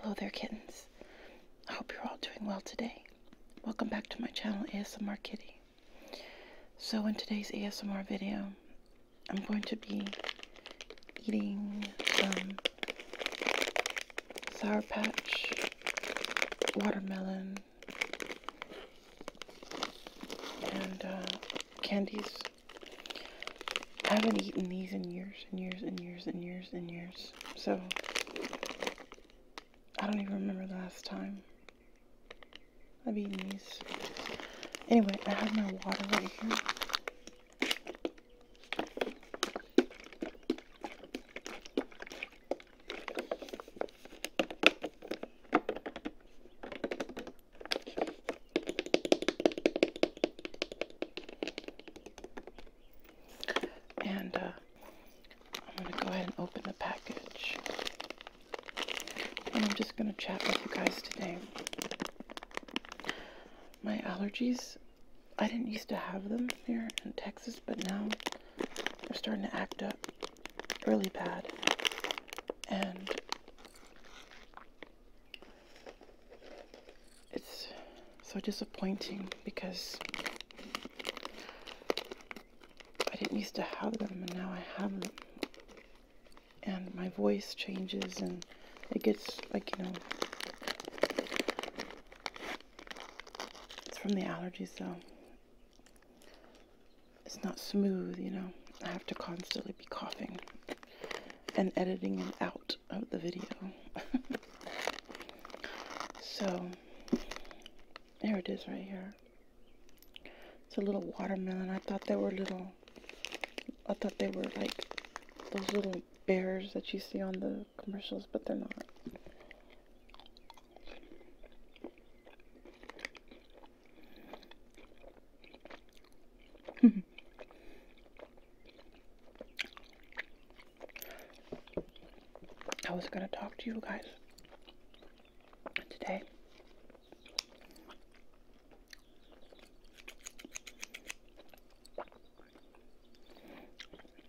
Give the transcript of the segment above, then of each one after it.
Hello there, kittens. I hope you're all doing well today. Welcome back to my channel, ASMR Kitty. So in today's ASMR video, I'm going to be eating some Sour Patch, watermelon, and uh, candies. I haven't eaten these in years and years and years and years and years. So, I don't even remember the last time I've eaten these. Anyway, I have my water right here. And uh, I'm going to go ahead and open the package. And I'm just going to chat with you guys today. My allergies, I didn't used to have them here in Texas, but now they're starting to act up really bad. And it's so disappointing because I didn't used to have them and now I have them. And my voice changes and it gets like, you know, it's from the allergies So It's not smooth, you know. I have to constantly be coughing and editing it out of the video. so, there it is right here. It's a little watermelon. I thought they were little, I thought they were like those little bears that you see on the commercials, but they're not. I was going to talk to you guys today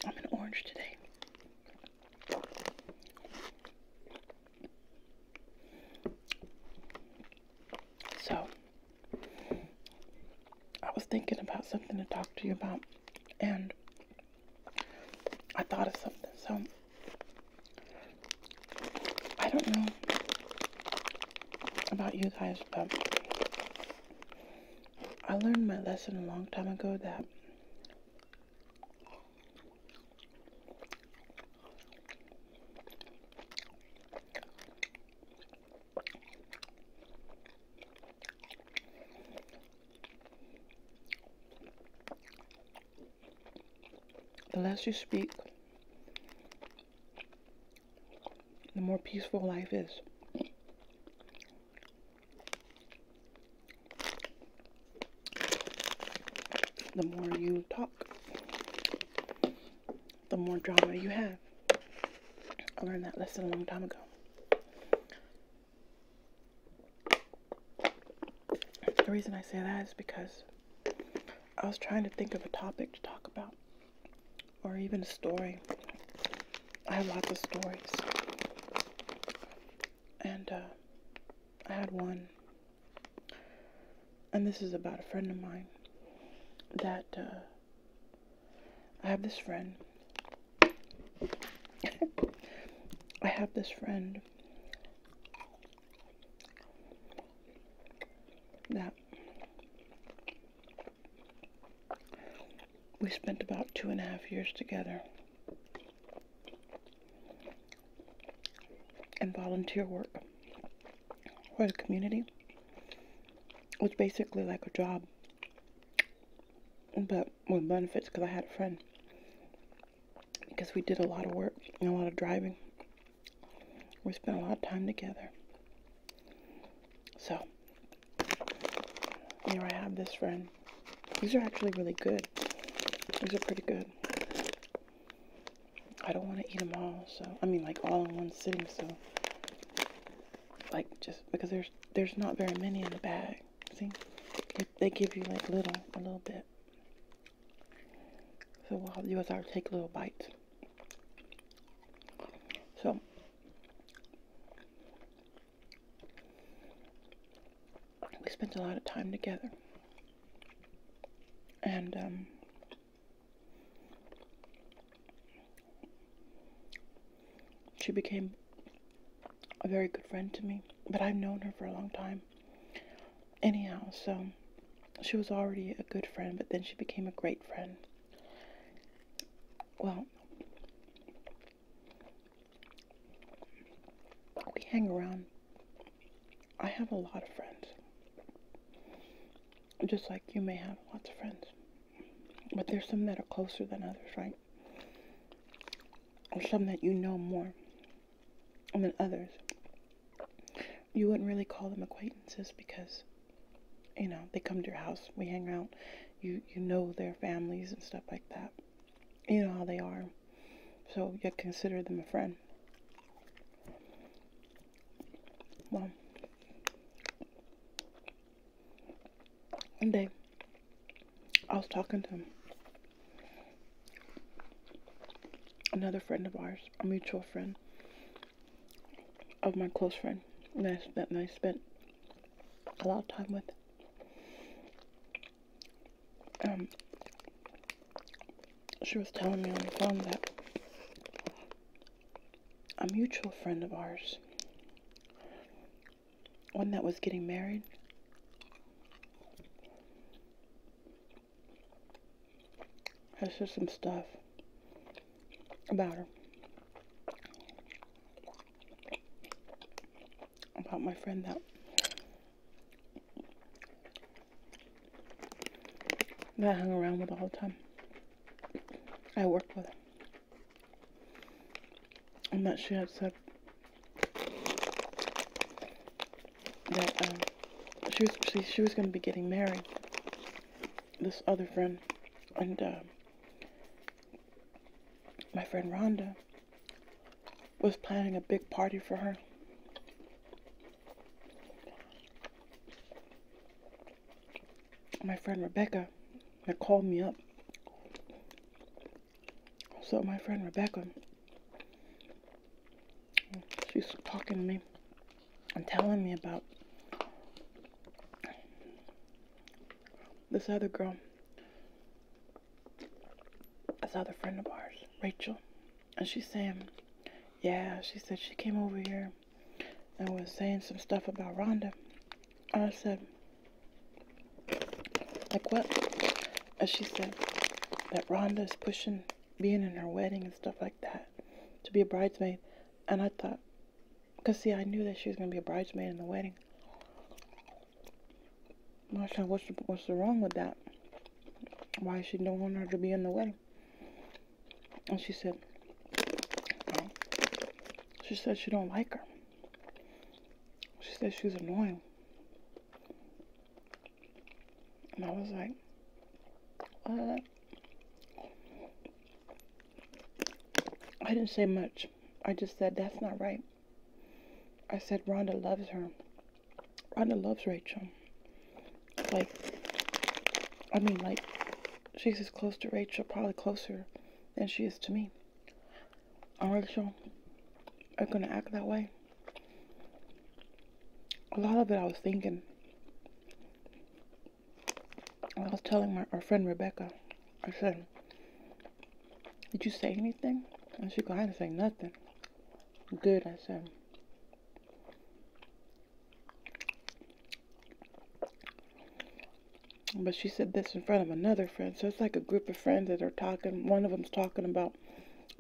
I'm an orange today so I was thinking about something to talk to you about, and I thought of something. So, I don't know about you guys, but I learned my lesson a long time ago that the less you speak, the more peaceful life is. The more you talk, the more drama you have. I learned that lesson a long time ago. The reason I say that is because I was trying to think of a topic to talk about or even a story. I have lots of stories. And uh, I had one, and this is about a friend of mine that uh, I have this friend. I have this friend that we spent about two and a half years together in volunteer work for the community. which basically like a job but with benefits because I had a friend. Because we did a lot of work and a lot of driving. We spent a lot of time together. So, here I have this friend. These are actually really good. These are pretty good. I don't want to eat them all, so, I mean, like, all in one sitting, so, like, just, because there's there's not very many in the bag. See, they, give you like little, a little bit. So what I'll do is I'll take little bites. So. We spent a lot of time together. And, um, she became a very good friend to me, but I've known her for a long time. Anyhow, so she was already a good friend, but then she became a great friend. Well, we hang around. I have a lot of friends, just like you may have lots of friends. But there's some that are closer than others, right? Or some that you know more than others. You wouldn't really call them acquaintances because, you know, they come to your house, we hang out, you, you know their families and stuff like that. You know how they are. So you consider them a friend. Well, one day, I was talking to another friend of ours, a mutual friend of my close friend that I spent, I spent a lot of time with. Um, she was telling me on the phone that a mutual friend of ours one that was getting married. That's just some stuff about her. About my friend that that I hung around with all the time. I worked with. I'm actually upset that uh, she was she, she was going to be getting married. This other friend and uh, my friend Rhonda was planning a big party for her. My friend Rebecca that called me up. So my friend Rebecca, she's talking to me and telling me about this other girl, this other friend of ours, Rachel. And she's saying, yeah, she said she came over here and was saying some stuff about Rhonda. I said, like what? And she said that Rhonda is pushing being in her wedding and stuff like that to be a bridesmaid. And I thought, because see, I knew that she was going to be a bridesmaid in the wedding. And I said, what's, what's wrong with that? Why she don't want her to be in the wedding? And she said, She said she don't like her. She said she's annoying. And I was like, "What?" I didn't say much. I just said, that's not right. I said, Rhonda loves her. Rhonda loves Rachel. Like, I mean, like, she's as close to Rachel, probably closer than she is to me aren't are gonna act that way. A lot of it I was thinking. I was telling my our friend Rebecca, I said, Did you say anything? And she go, I didn't say nothing. Good, I said. But she said this in front of another friend. So it's like a group of friends that are talking. One of them's talking about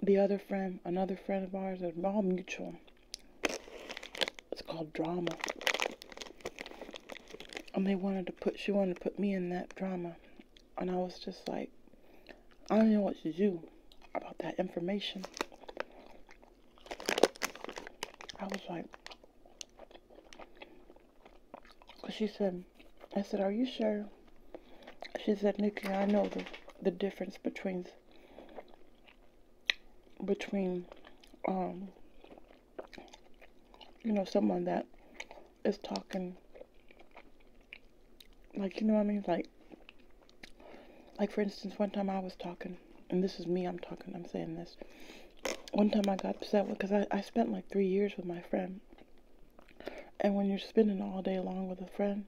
the other friend, another friend of ours. they all mutual. It's called drama. And they wanted to put, she wanted to put me in that drama. And I was just like, I don't know what to do about that information. I was like, she said, I said, are you sure? She said, Nikki, I know the, the difference between, between, um, you know, someone that is talking, like, you know what I mean? Like, like, for instance, one time I was talking, and this is me I'm talking, I'm saying this one time I got upset because I, I spent like three years with my friend. And when you're spending all day long with a friend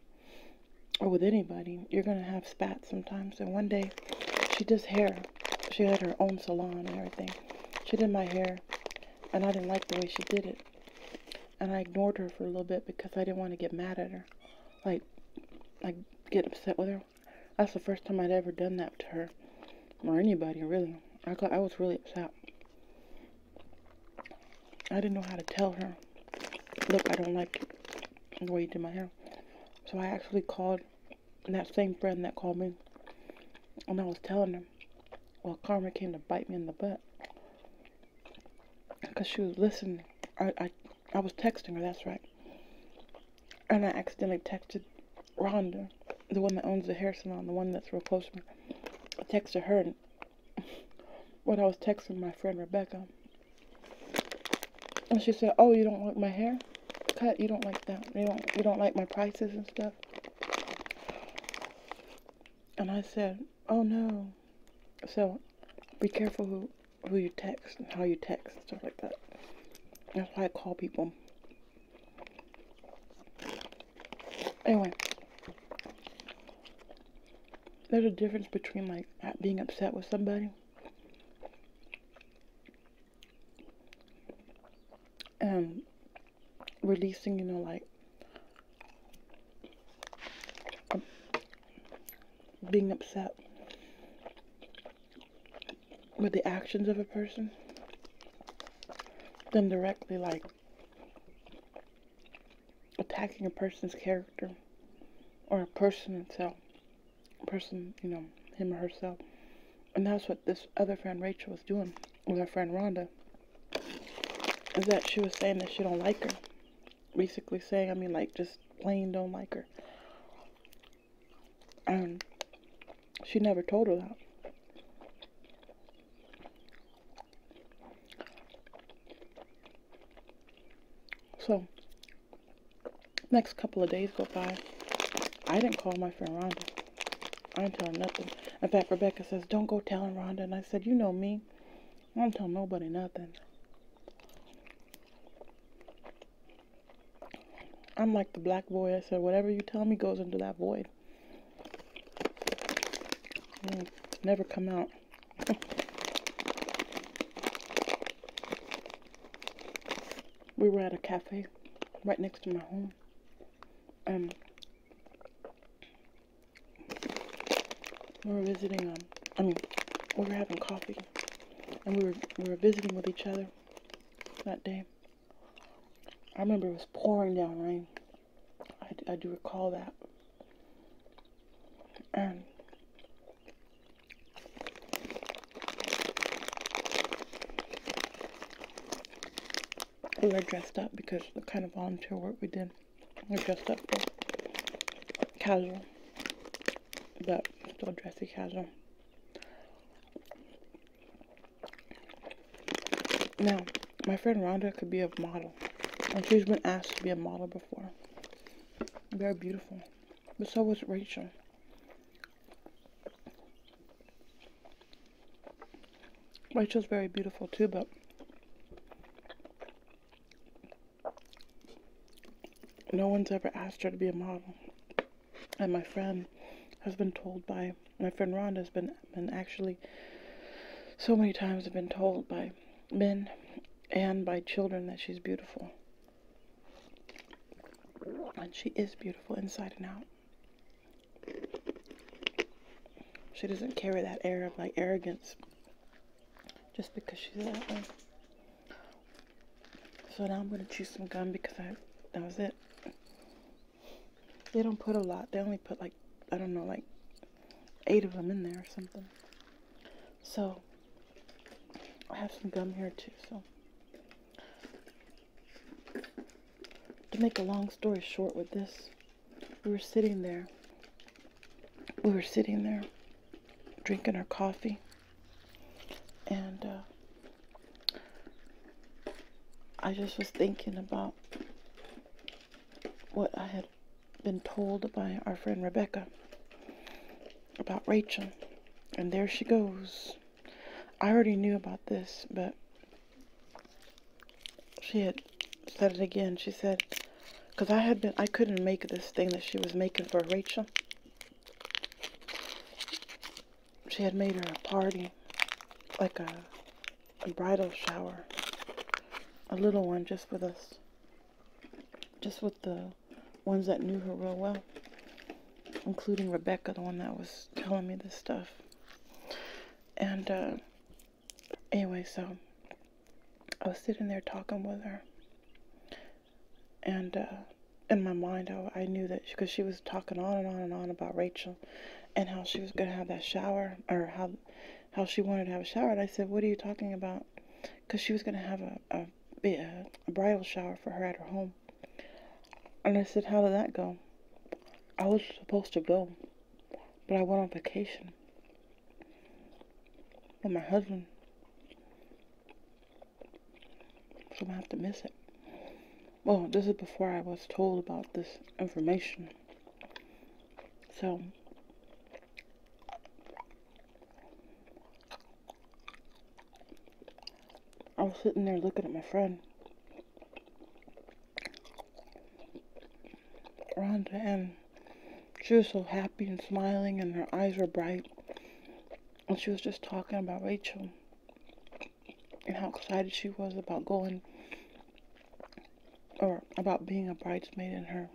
or with anybody, you're going to have spats sometimes. And one day she does hair. She had her own salon and everything. She did my hair and I didn't like the way she did it. And I ignored her for a little bit because I didn't want to get mad at her. Like, like get upset with her. That's the first time I'd ever done that to her or anybody really. I I was really upset. I didn't know how to tell her, look, I don't like the way you do my hair. So I actually called that same friend that called me, and I was telling her, well, karma came to bite me in the butt. Because she was listening. I, I, I was texting her, that's right. And I accidentally texted Rhonda, the one that owns the hair salon, the one that's real close to me, texted her and when I was texting my friend Rebecca. And she said, Oh, you don't like my hair cut? You don't like that. You don't you don't like my prices and stuff. And I said, Oh no. So be careful who who you text and how you text and stuff like that. That's why I call people Anyway, there's a difference between like being upset with somebody and releasing, you know, like um, being upset with the actions of a person them directly like attacking a person's character or a person itself person you know him or herself and that's what this other friend rachel was doing with her friend rhonda is that she was saying that she don't like her basically saying i mean like just plain don't like her she never told her that. So, next couple of days go by. I didn't call my friend Rhonda. I didn't tell her nothing. In fact, Rebecca says, don't go telling Rhonda. And I said, you know me. I don't tell nobody nothing. I'm like the black boy. I said, whatever you tell me goes into that void. Mm, never come out. we were at a cafe right next to my home. Um, we were visiting, um, I mean, we were having coffee and we were, we were visiting with each other that day. I remember it was pouring down rain. I, I do recall that. And we were dressed up because the kind of volunteer work we did, we were dressed up for casual, but still dressy casual. Now, my friend Rhonda could be a model, and she's been asked to be a model before. Very beautiful. But so was Rachel. Rachel's very beautiful too, but no one's ever asked her to be a model. And my friend has been told by my friend Rhonda has been, been actually so many times have been told by men and by children that she's beautiful. And she is beautiful inside and out. She doesn't carry that air of like arrogance just because she's that way. So now I'm going to chew some gum because I that was it. They don't put a lot. They only put like, I don't know, like eight of them in there or something. So, I have some gum here too. So, to make a long story short with this, we were sitting there. We were sitting there drinking our coffee. And uh, I just was thinking about what I had been told by our friend Rebecca about Rachel. And there she goes. I already knew about this, but she had said it again. She said, because I had been, I couldn't make this thing that she was making for Rachel she had made her a party, like a, bridal shower, a little one just with us, just with the ones that knew her real well, including Rebecca, the one that was telling me this stuff. And uh, anyway, so I was sitting there talking with her, and uh, in my mind, I, I knew that because she was talking on and on and on about Rachel, and how she was going to have that shower or how how she wanted to have a shower. And I said, "What are you talking about?" Because she was going to have a, a bridal shower for her at her home. And I said, "How did that go?" I was supposed to go, but I went on vacation with my husband, so I'm gonna have to miss it well, this is before I was told about this information. So, I was sitting there looking at my friend, Rhonda, and she was so happy and smiling, and her eyes were bright. And she was just talking about Rachel and how excited she was about going or about being a bridesmaid in her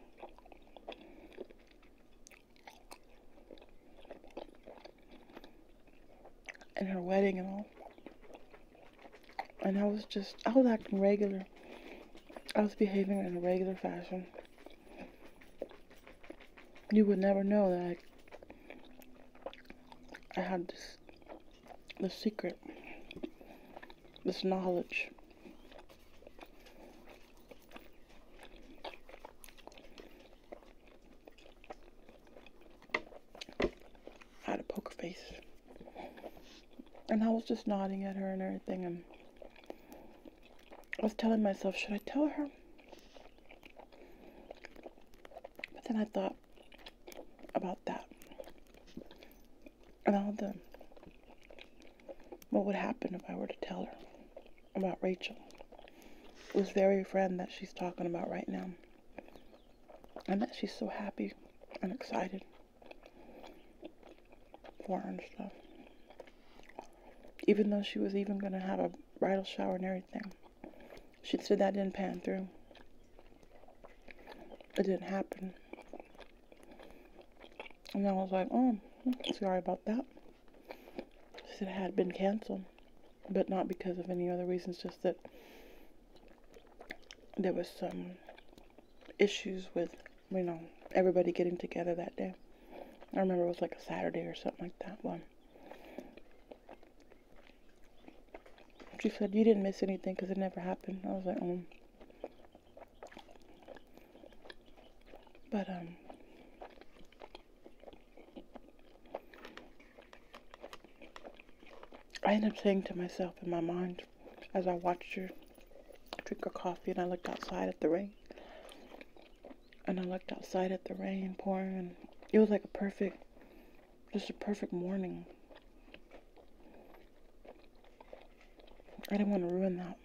in her wedding and all. And I was just I was acting regular. I was behaving in a regular fashion. You would never know that I, I had this this secret, this knowledge. I had a poker face. And I was just nodding at her and everything and I was telling myself, should I tell her? But then I thought about that and all the what would happen if I were to tell her about Rachel, this very friend that she's talking about right now. and that she's so happy and excited for her and stuff. Even though she was even going to have a bridal shower and everything. She said that didn't pan through. It didn't happen. And I was like, oh, sorry about that. said it had been canceled, but not because of any other reasons, just that there was some issues with, you know, everybody getting together that day. I remember it was like a Saturday or something like that one. She said, you didn't miss anything because it never happened. I was like, um. But, um. I ended up saying to myself in my mind as I watched her drink her coffee and I looked outside at the rain. And I looked outside at the rain pouring and it was like a perfect just a perfect morning. I didn't want to ruin that.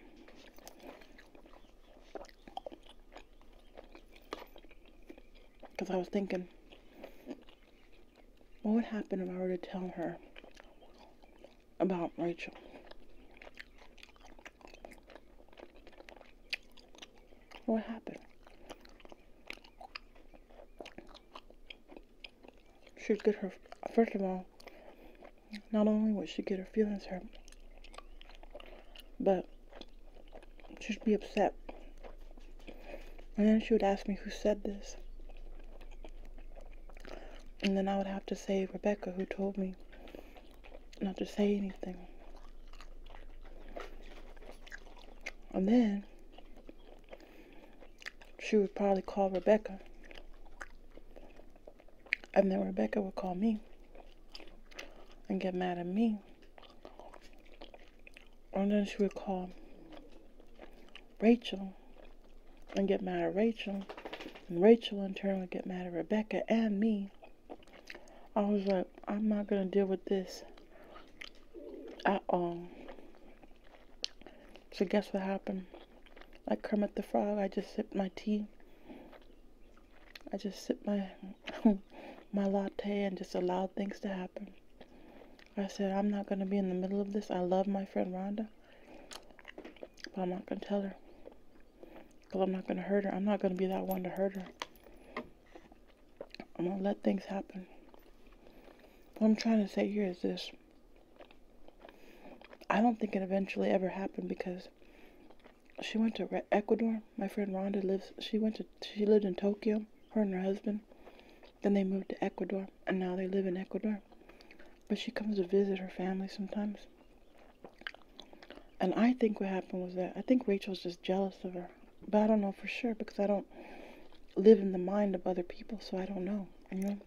Because I was thinking, what would happen if I were to tell her about Rachel? What happened? She'd get her, first of all, not only would she get her feelings hurt, but she'd be upset. And then she would ask me who said this. And then I would have to say Rebecca, who told me not to say anything. And then she would probably call Rebecca. And then Rebecca would call me and get mad at me. And then she would call Rachel and get mad at Rachel. And Rachel in turn would get mad at Rebecca and me. I was like, I'm not going to deal with this at all. So guess what happened? Like Kermit the Frog, I just sipped my tea. I just sipped my my latte and just allowed things to happen. I said, I'm not going to be in the middle of this. I love my friend Rhonda, but I'm not going to tell her. Because I'm not going to hurt her. I'm not going to be that one to hurt her. I'm going to let things happen. What I'm trying to say here is this. I don't think it eventually ever happened because she went to Ecuador. My friend Rhonda lives. She went to. She lived in Tokyo. Her and her husband. Then they moved to Ecuador, and now they live in Ecuador. But she comes to visit her family sometimes. And I think what happened was that I think Rachel's just jealous of her, but I don't know for sure because I don't live in the mind of other people, so I don't know. You know,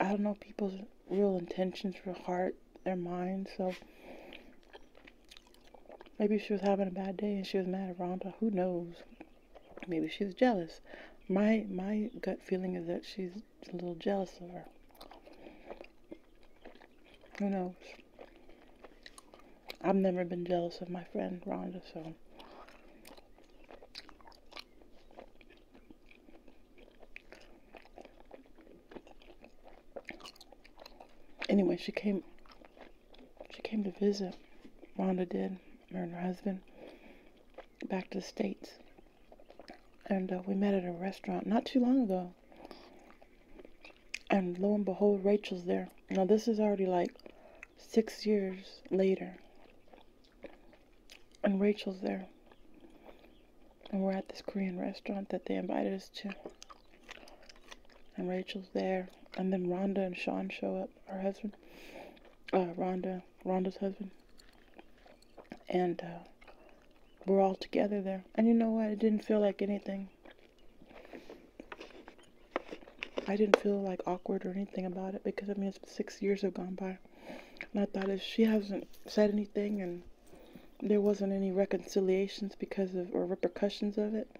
I don't know people's real intentions, real heart, their mind. So maybe she was having a bad day and she was mad at Rhonda. Who knows? Maybe she was jealous. My my gut feeling is that she's a little jealous of her. Who knows? I've never been jealous of my friend Rhonda, so Anyway, she came she came to visit Rhonda did, her and her husband, back to the States. And uh, we met at a restaurant not too long ago. And lo and behold, Rachel's there. Now, this is already like six years later, and Rachel's there. And we're at this Korean restaurant that they invited us to. And Rachel's there. And then Rhonda and Sean show up, her husband. Uh, Rhonda, Rhonda's husband. And uh, we're all together there. And you know what? It didn't feel like anything. I didn't feel like awkward or anything about it because I mean, six years have gone by. And I thought if she hasn't said anything and there wasn't any reconciliations because of or repercussions of it,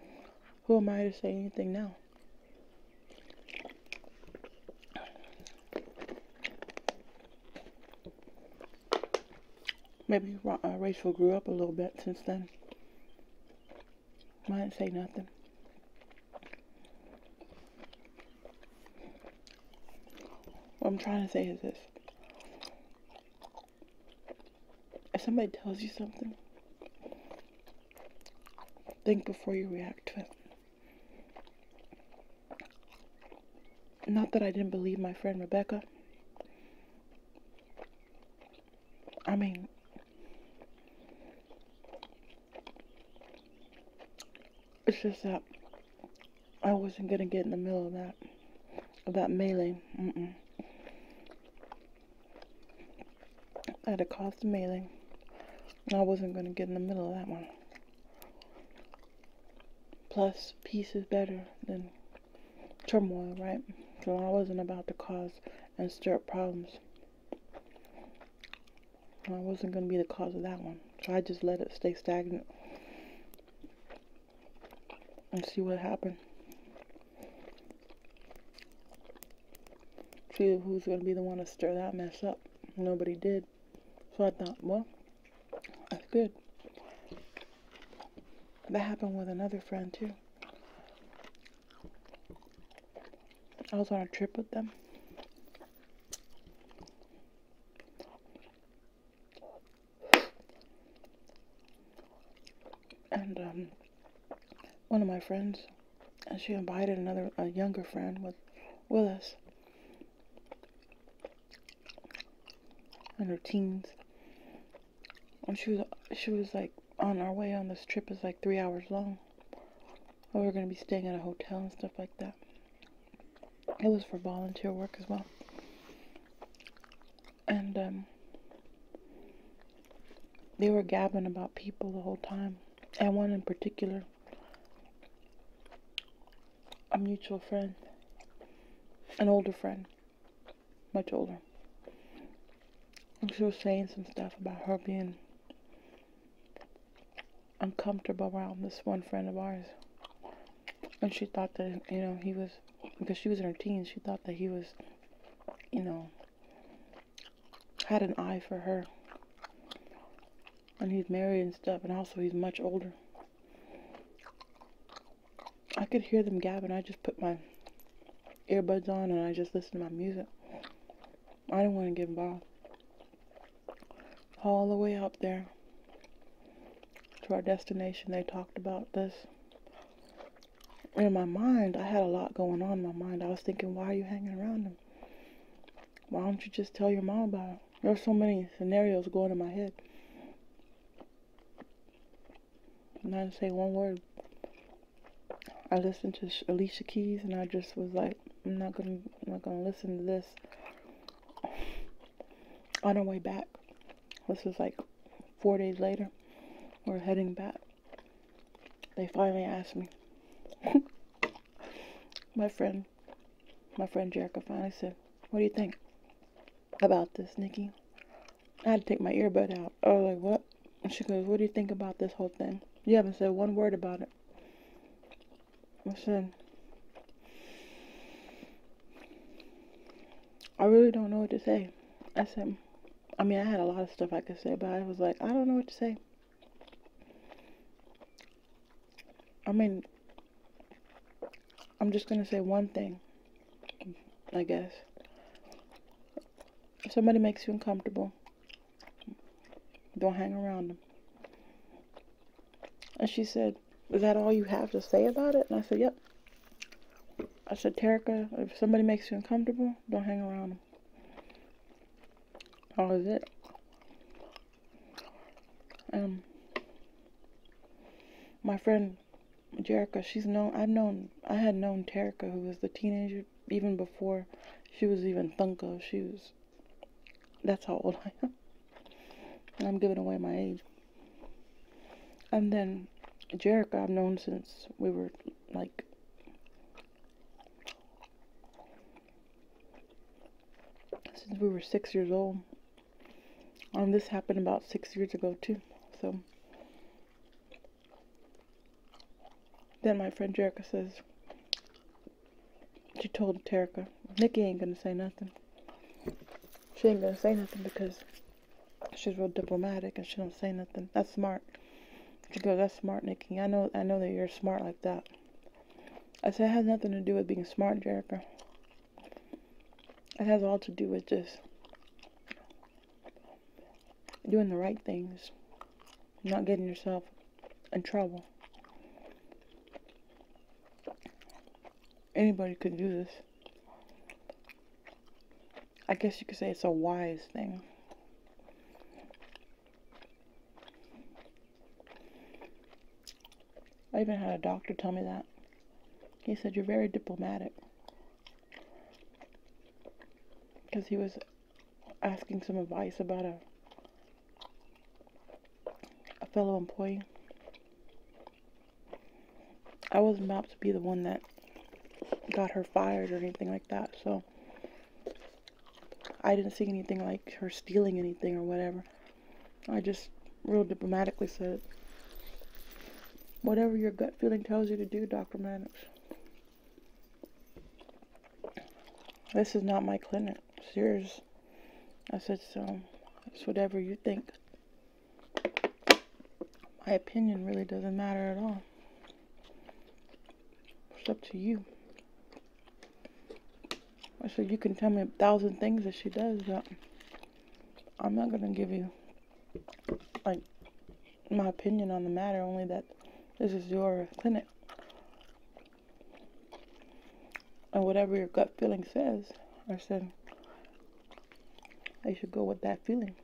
who am I to say anything now? Maybe uh, Rachel grew up a little bit since then. might not say nothing. What I'm trying to say is this. If somebody tells you something, think before you react to it. Not that I didn't believe my friend Rebecca. I mean, it's just that I wasn't gonna get in the middle of that of that I had to cause the mailing. I wasn't gonna get in the middle of that one. Plus, peace is better than turmoil, right? So I wasn't about to cause and stir up problems. I wasn't going to be the cause of that one. So I just let it stay stagnant and see what happened. See who's going to be the one to stir that mess up. Nobody did. So I thought, well, that's good. That happened with another friend too. I was on a trip with them. And um, one of my friends, and she invited another, a younger friend with, with us. In her teens. And she was, she was like, on our way on this trip is like three hours long we were going to be staying at a hotel and stuff like that. It was for volunteer work as well. And um, they were gabbing about people the whole time. And one in particular, a mutual friend, an older friend, much older. And she was saying some stuff about her being uncomfortable around this one friend of ours. And she thought that, you know, he was, because she was in her teens, she thought that he was, you know, had an eye for her. And he's married and stuff, and also he's much older. I could hear them gabbing. I just put my earbuds on and I just listened to my music. I didn't want to give involved. All the way up there to our destination, they talked about this. In my mind, I had a lot going on in my mind. I was thinking, why are you hanging around them? Why don't you just tell your mom about it? There were so many scenarios going in my head. And I didn't say one word. I listened to Alicia Keys and I just was like, I'm not going to I'm not gonna listen to this on our way back. This was like four days later. We're heading back. They finally asked me. my friend, my friend Jerica finally said, "What do you think about this, Nikki?" I had to take my earbud out. Oh, like, "What?" And she goes, "What do you think about this whole thing? You haven't said one word about it." I said, I really don't know what to say. I said, I mean, I had a lot of stuff I could say, but I was like, I don't know what to say. I mean, I'm just going to say one thing, I guess. If somebody makes you uncomfortable, don't hang around them. And she said, Is that all you have to say about it? And I said, Yep. I said, Terica, if somebody makes you uncomfortable, don't hang around them. That was it. Um, my friend Jerica, she's known. I've known. I had known Terica, who was the teenager, even before she was even Thunko. She was that's how old I am. And I'm giving away my age. And then Jericho, I've known since we were like since we were six years old. And this happened about six years ago too. So then my friend Jericho says, she told Terika, Nikki ain't gonna say nothing. She ain't gonna say nothing because she's real diplomatic and she don't say nothing. That's smart. She goes, That's smart, Nikki. I know I know that you're smart like that. I said it has nothing to do with being smart, Jerica. It has all to do with just doing the right things. Not getting yourself in trouble. Anybody could do this. I guess you could say it's a wise thing. I even had a doctor tell me that. He said, You're very diplomatic. Because he was asking some advice about a, a fellow employee. I wasn't about to be the one that got her fired or anything like that, so I didn't see anything like her stealing anything or whatever. I just real diplomatically said, whatever your gut feeling tells you to do, Dr. Maddox. This is not my clinic. It's yours. I said, so it's whatever you think. My opinion really doesn't matter at all. It's up to you. I said, you can tell me a thousand things that she does, I'm not going to give you, like, my opinion on the matter, only that this is your clinic. And whatever your gut feeling says, I said, I should go with that feeling.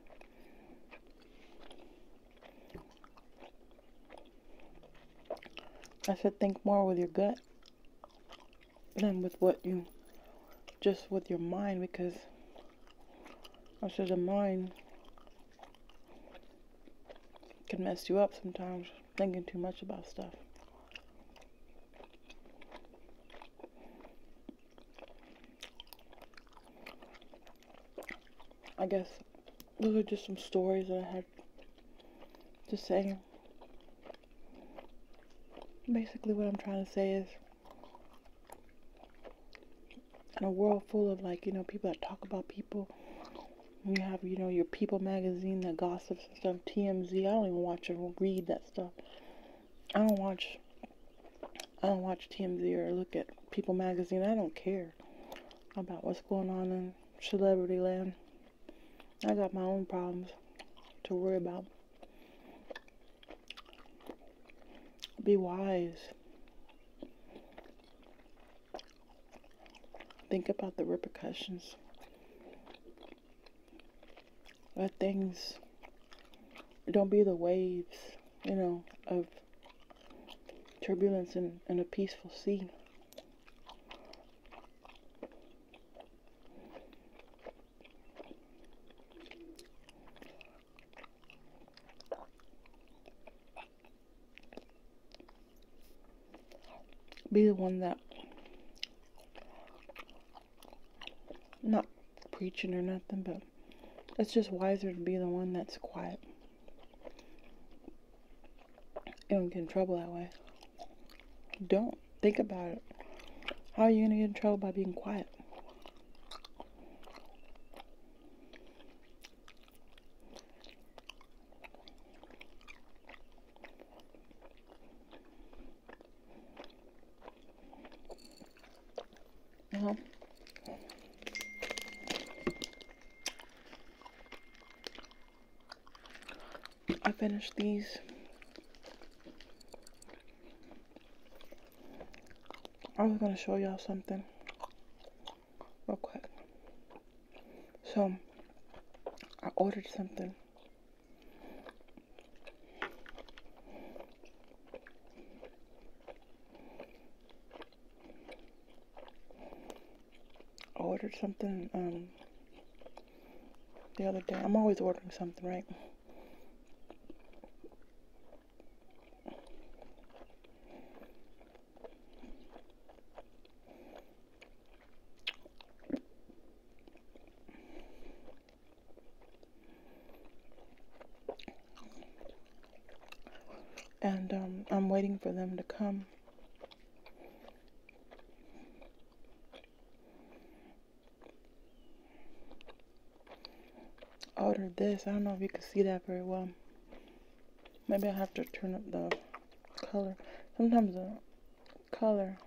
I should think more with your gut than with what you, just with your mind, because I said, the mind can mess you up sometimes thinking too much about stuff. I guess those are just some stories that I had to say. Basically, what I'm trying to say is in a world full of like, you know, people that talk about people you have, you know, your People magazine that gossips and stuff. TMZ. I don't even watch or read that stuff. I don't watch. I don't watch TMZ or look at People magazine. I don't care about what's going on in celebrity land. I got my own problems to worry about. Be wise. Think about the repercussions Let things. Don't be the waves, you know, of turbulence in, in a peaceful sea be the one that not preaching or nothing, but it's just wiser to be the one that's quiet. You don't get in trouble that way. Don't think about it. How are you gonna get in trouble by being quiet? You uh-huh. I finished these. I was gonna show y'all something real quick. So, I ordered something. ordered something um, the other day. I'm always ordering something, right? And um, I'm waiting for them to come. Ordered this. I don't know if you can see that very well. Maybe I have to turn up the color. Sometimes the color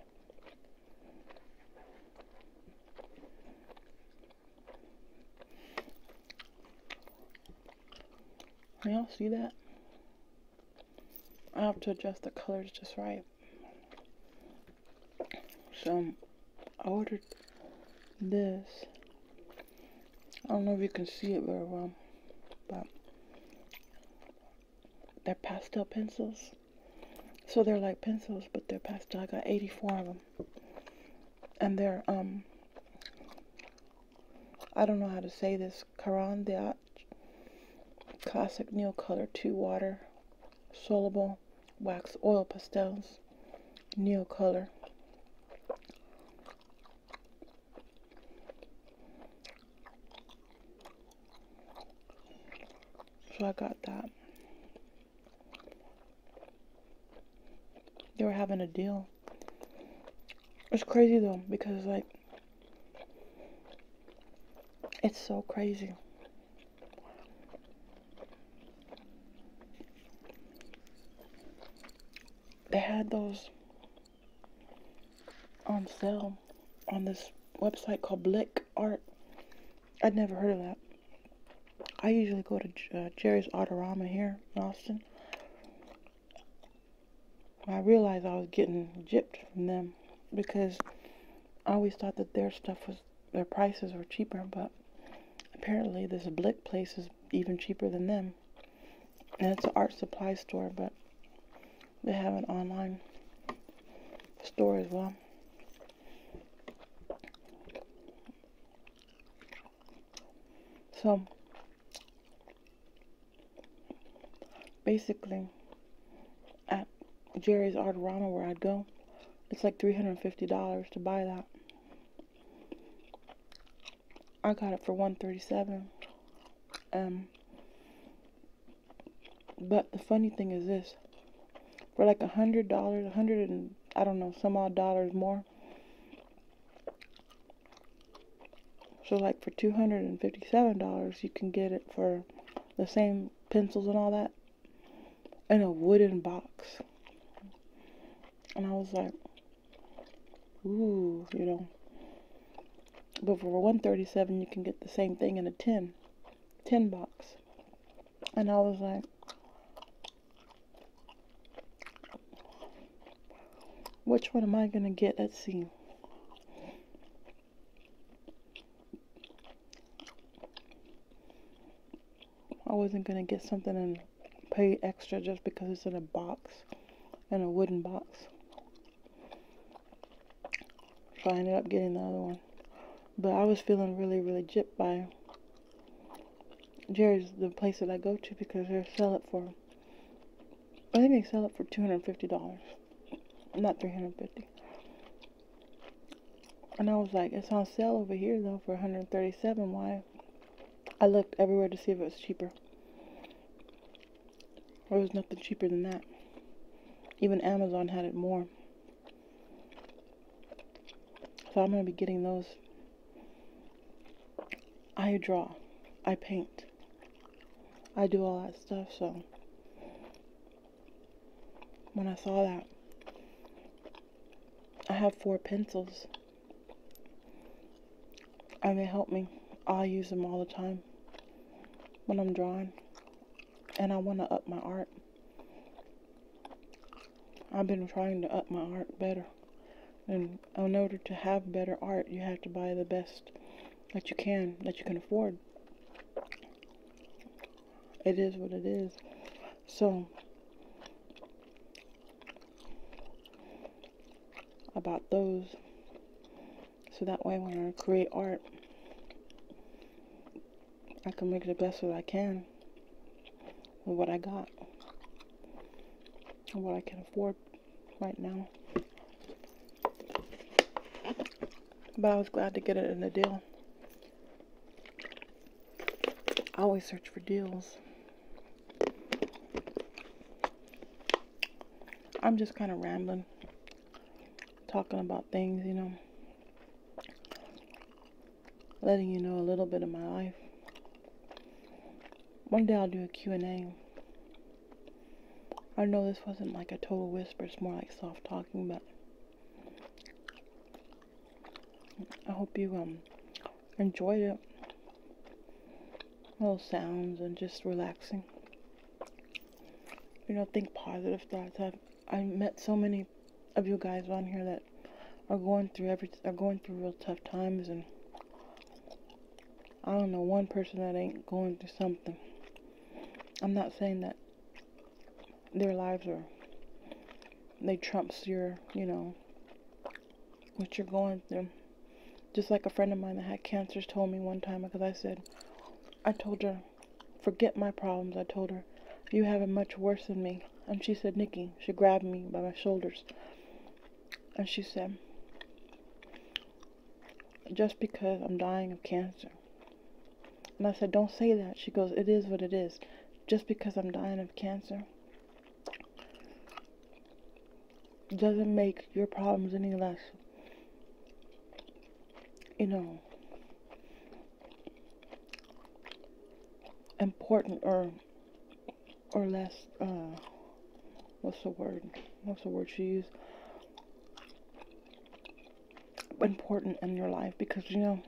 Y'all see that? I have to adjust the colors just right. So, I ordered this. I don't know if you can see it very well, but they're pastel pencils. So they're like pencils, but they're pastel. I got 84 of them. And they're, um, I don't know how to say this. Caran d'Ache Classic Neo Color 2 Water Soluble Wax Oil Pastels Neo Color so I got that. They were having a deal. It's crazy though, because like, it's so crazy. They had those on sale on this website called Blick Art. I'd never heard of that. I usually go to uh, Jerry's Artorama here in Austin. I realized I was getting jipped from them because I always thought that their stuff was, their prices were cheaper, but apparently this Blick place is even cheaper than them. And it's an art supply store, but they have an online store as well. So, basically, at Jerry's Artorama where I would go, it's like $350 to buy that. I got it for 137 um, but the funny thing is this for like a hundred dollars, a hundred and I don't know, some odd dollars more. So, like for $257, you can get it for the same pencils and all that in a wooden box. And I was like, ooh, you know. But for 137 you can get the same thing in a 10, 10 box. And I was like, which one am I going to get? Let's see. I wasn't going to get something and pay extra just because it's in a box, in a wooden box. So I ended up getting the other one. But I was feeling really, really jipped by Jerry's, the place that I go to, because they sell it for, I think they sell it for $250, not 350 And I was like, it's on sale over here, though, for 137 Why? I looked everywhere to see if it was cheaper. There was nothing cheaper than that. Even Amazon had it more. So I'm going to be getting those. I draw. I paint. I do all that stuff, so when I saw that, I have four pencils and they help me. I use them all the time when I'm drawing and I want to up my art. I've been trying to up my art better. And in order to have better art, you have to buy the best that you can, that you can afford. It is what it is. So, about those, so that way when I create art, I can make the best that I can with what I got and what I can afford right now. But I was glad to get it in a deal. I always search for deals. I'm just kind of rambling, talking about things, you know, letting you know a little bit of my life. One day I'll do a Q&A. I know this wasn't like a total whisper, it's more like soft talking, but I hope you um enjoyed it. Little sounds and just relaxing you know, think positive thoughts. I've I met so many of you guys on here that are going through every are going through real tough times, and I don't know one person that ain't going through something. I'm not saying that their lives are they trumps your you know what you're going through. Just like a friend of mine that had cancer told me one time because I said I told her, forget my problems. I told her, you have it much worse than me. And she said, "Nicky," she grabbed me by my shoulders. And she said, just because I'm dying of cancer. And I said, don't say that. She goes, it is what it is. Just because I'm dying of cancer doesn't make your problems any less you know, important or or less uh what's the word what's the word she used important in your life because you know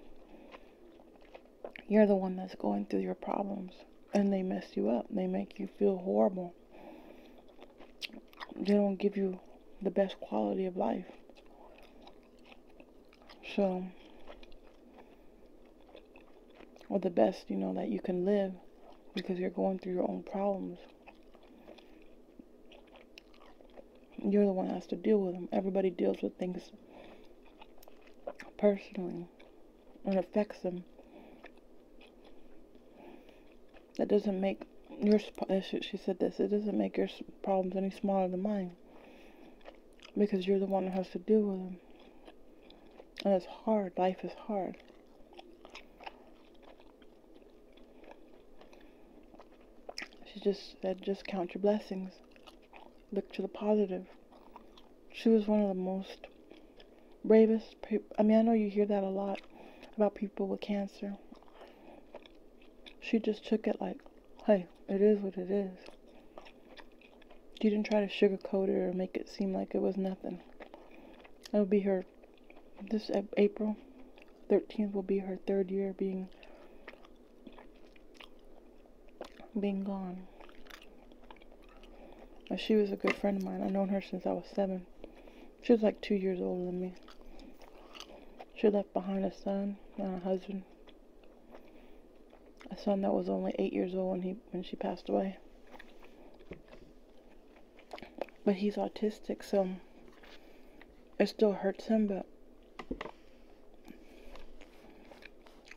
you're the one that's going through your problems and they mess you up they make you feel horrible they don't give you the best quality of life. So, or the best, you know, that you can live because you're going through your own problems. You're the one that has to deal with them. Everybody deals with things personally and affects them that doesn't make your eh, she said this. It doesn't make your problems any smaller than mine because you're the one who has to deal with them. And it's hard. Life is hard. She just said, just count your blessings. Look to the positive. She was one of the most bravest I mean, I know you hear that a lot about people with cancer. She just took it like, hey, it is what it is. She didn't try to sugarcoat it or make it seem like it was nothing. It'll be her, this April 13th will be her third year being, being gone. she was a good friend of mine. I've known her since I was seven. She was like two years older than me. She left behind a son and a husband. A son that was only eight years old when he when she passed away. But he's autistic, so it still hurts him, but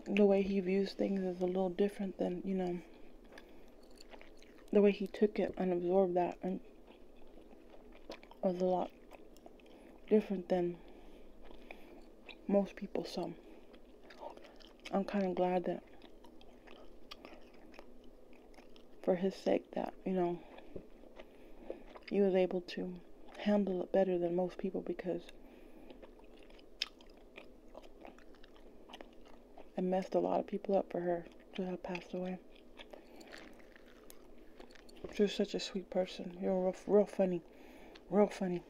the way he views things is a little different than, you know, the way he took it and absorbed that and was a lot different than most people so I'm kind of glad that for his sake that you know he was able to handle it better than most people because it messed a lot of people up for her to have passed away. You're such a sweet person. You're real, real funny. Real funny.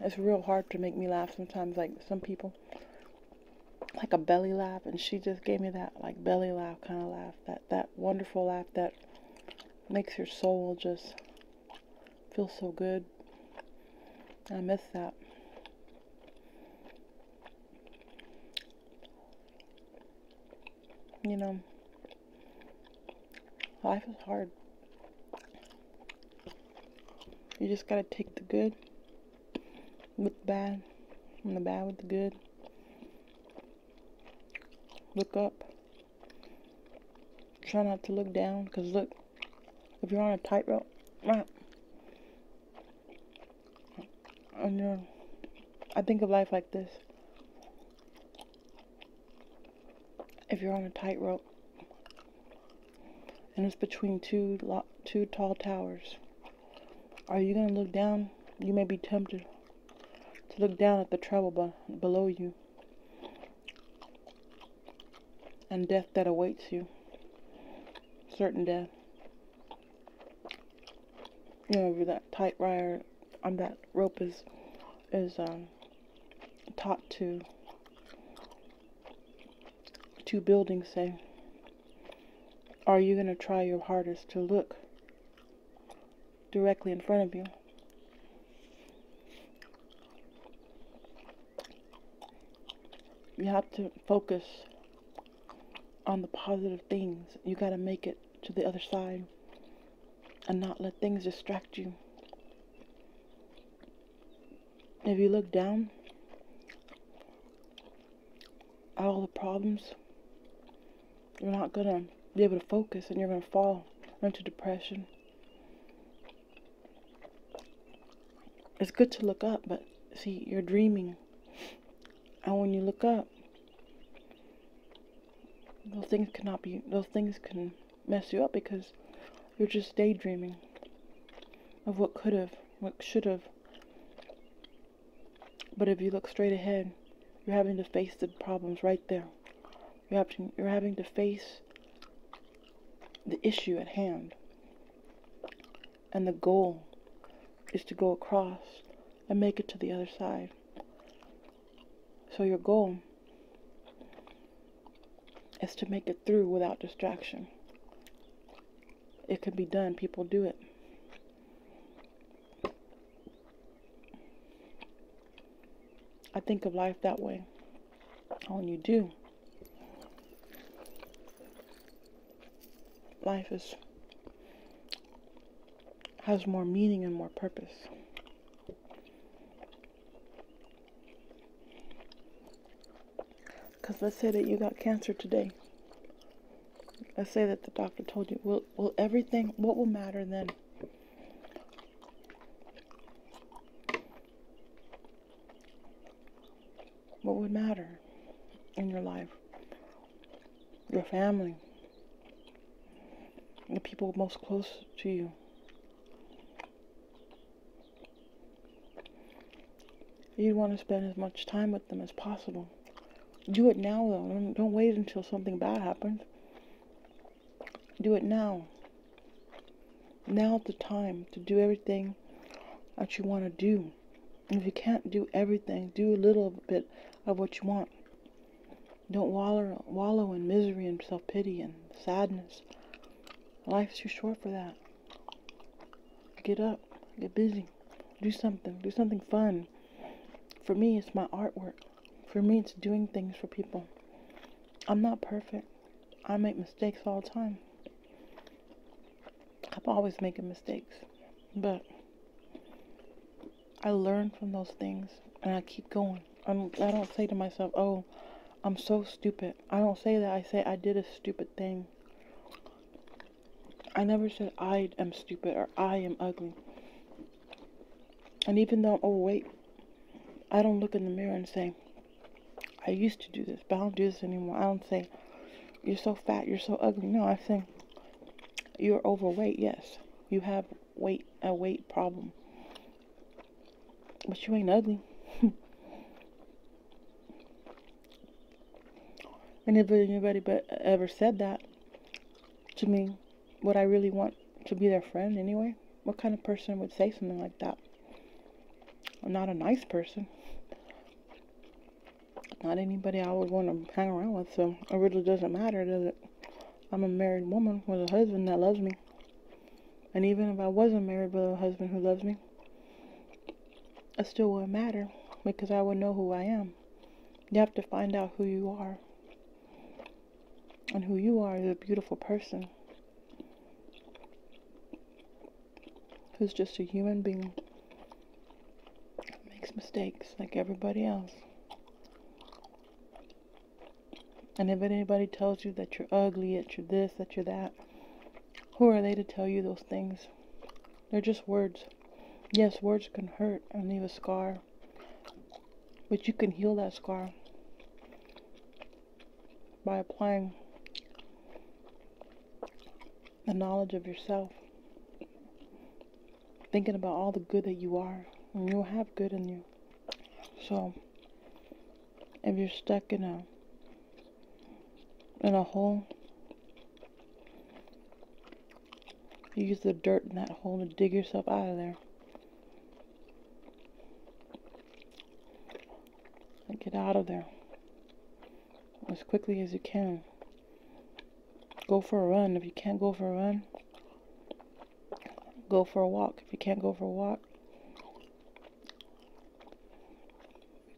It's real hard to make me laugh sometimes. Like some people, like a belly laugh, and she just gave me that like belly laugh kind of laugh. That that wonderful laugh that makes your soul just feel so good. I miss that. You know, life is hard. You just gotta take the good with the bad, and the bad with the good. Look up. Try not to look down, because look, if you're on a tightrope, right. And uh, I think of life like this. If you're on a tightrope and it's between two two tall towers, are you gonna look down? You may be tempted to look down at the trouble below you and death that awaits you. Certain death you know, that tight wire on that rope is is um, taught to to building say are you going to try your hardest to look directly in front of you you have to focus on the positive things. You got to make it to the other side and not let things distract you. If you look down all the problems, you're not going to be able to focus and you're going to fall into depression it's good to look up, but see, you're dreaming. And when you look up, those things cannot be, those things can mess you up because you're just daydreaming of what could have, what should have. But if you look straight ahead, you're having to face the problems right there. You have to, you're having to face the issue at hand and the goal is to go across and make it to the other side. So your goal is to make it through without distraction. It can be done. People do it. I think of life that way. All you do life is has more meaning and more purpose. Because let's say that you got cancer today. Let's say that the doctor told you, "Well, will everything, what will matter then? what would matter in your life, your family, the people most close to you. You want to spend as much time with them as possible. Do it now, though. Don't, don't wait until something bad happens. Do it now. Now's the time to do everything that you want to do if you can't do everything, do a little bit of what you want. Don't wallow, wallow in misery and self pity and sadness. Life's too short for that. Get up, get busy, do something, do something fun. For me, it's my artwork. For me, it's doing things for people. I'm not perfect. I make mistakes all the time. I'm always making mistakes, but I learn from those things and I keep going. I'm, I don't say to myself, oh, I'm so stupid. I don't say that. I say I did a stupid thing. I never said I am stupid or I am ugly. And even though oh, I'm overweight, I don't look in the mirror and say, I used to do this, but I don't do this anymore. I don't say, you're so fat, you're so ugly. No, i think you're overweight, yes. You have weight a weight problem. But you ain't ugly. and if anybody but uh, ever said that to me, would I really want to be their friend anyway? What kind of person would say something like that? not a nice person not anybody I would want to hang around with, so it really doesn't matter, does it? I'm a married woman with a husband that loves me. And even if I wasn't married with a husband who loves me, it still wouldn't matter because I would know who I am. You have to find out who you are. And who you are is a beautiful person who's just a human being, makes mistakes like everybody else. And if anybody tells you that you're ugly, that you're this, that you're that, who are they to tell you those things? They're just words. Yes, words can hurt and leave a scar, but you can heal that scar by applying the knowledge of yourself, thinking about all the good that you are, and you'll have good in you. So, if you're stuck in a in a hole, use the dirt in that hole to dig yourself out of there. And get out of there as quickly as you can. Go for a run. If you can't go for a run, go for a walk. If you can't go for a walk,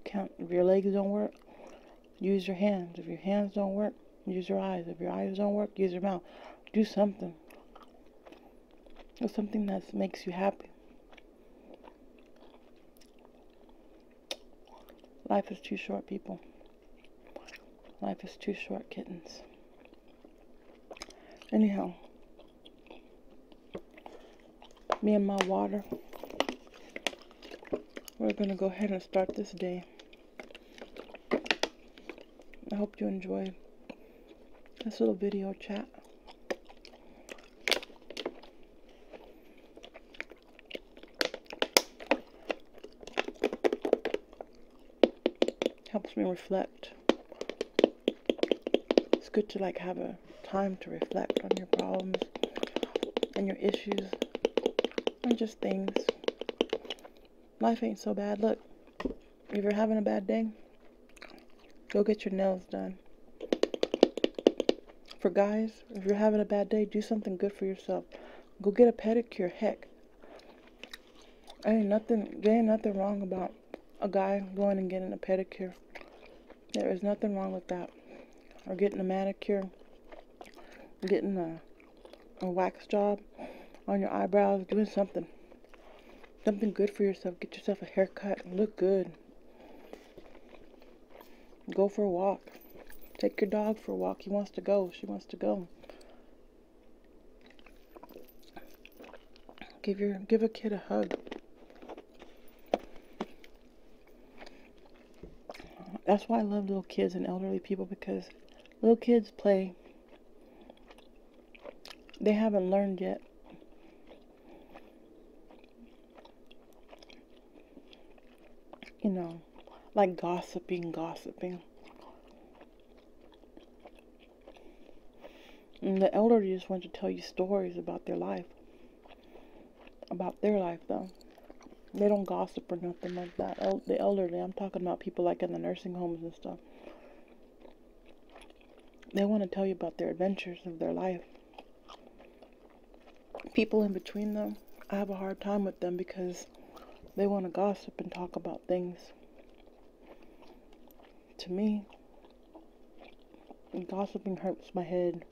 can't, if your legs don't work, use your hands. If your hands don't work, use your eyes. If your eyes don't work, use your mouth. Do something. Do something that makes you happy. Life is too short, people. Life is too short, kittens. Anyhow, me and my water, we're going to go ahead and start this day. I hope you enjoy this little video chat. Helps me reflect. It's good to like have a time to reflect on your problems and your issues and just things. Life ain't so bad. Look, if you're having a bad day, go get your nails done. For guys, if you're having a bad day, do something good for yourself. Go get a pedicure. Heck, ain't nothing. There ain't nothing wrong about a guy going and getting a pedicure. There is nothing wrong with that. Or getting a manicure, getting a, wax job on your eyebrows, doing something. Something good for yourself. Get yourself a haircut. Look good. Go for a walk. Take your dog for a walk. He wants to go. She wants to go. Give your give a kid a hug. That's why I love little kids and elderly people because little kids play. They haven't learned yet you know, like gossiping, gossiping. And the elderly just want to tell you stories about their life. About their life, though. They don't gossip or nothing like that. the elderly, I'm talking about people like in the nursing homes and stuff. They want to tell you about their adventures of their life people in between them, I have a hard time with them because they want to gossip and talk about things. To me, gossiping hurts my head.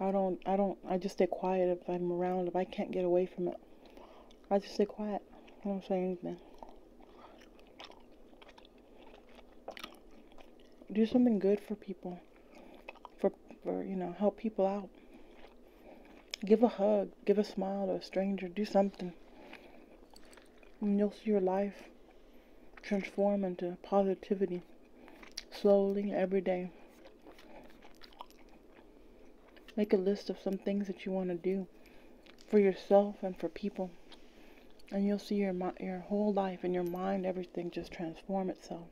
I don't, I don't, I just stay quiet if I'm around, if I can't get away from it. I just stay quiet. I don't say anything. Do something good for people for, for you know, help people out. Give a hug, give a smile to a stranger, do something. And you'll see your life transform into positivity slowly every day. Make a list of some things that you want to do for yourself and for people. And you'll see your your whole life and your mind, everything just transform itself.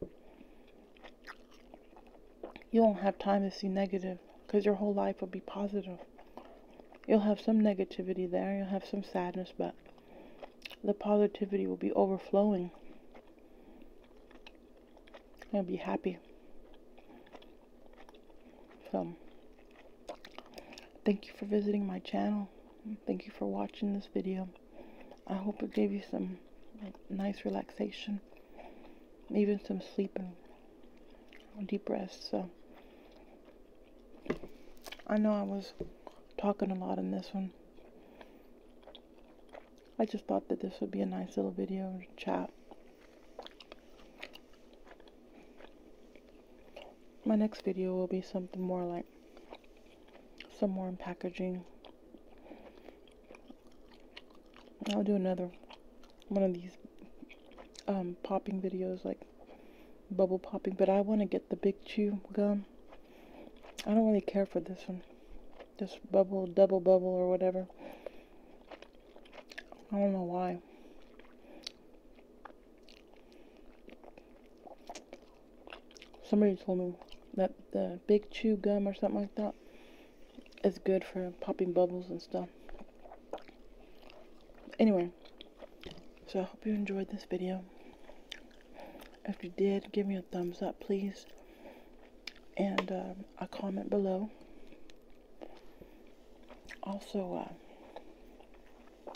You won't have time to see negative because your whole life will be positive. You'll have some negativity there, you'll have some sadness, but the positivity will be overflowing. You'll be happy. So, thank you for visiting my channel. Thank you for watching this video. I hope it gave you some nice relaxation, even some sleep and deep breaths. So I know I was talking a lot in this one. I just thought that this would be a nice little video chat. My next video will be something more like some more packaging I'll do another one of these um, popping videos, like bubble popping, but I want to get the big chew gum. I don't really care for this one. This bubble, double bubble, or whatever. I don't know why. Somebody told me that the big chew gum or something like that is good for popping bubbles and stuff. Anyway, so I hope you enjoyed this video. If you did, give me a thumbs up, please. And um, a comment below. Also, uh,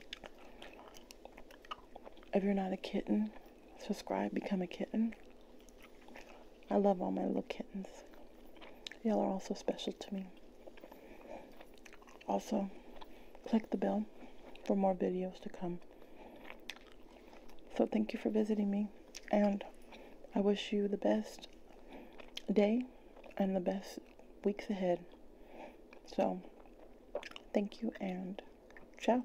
if you're not a kitten, subscribe, become a kitten. I love all my little kittens. Y'all are also special to me. Also, click the bell for more videos to come. So thank you for visiting me. And I wish you the best day and the best weeks ahead. So thank you and ciao.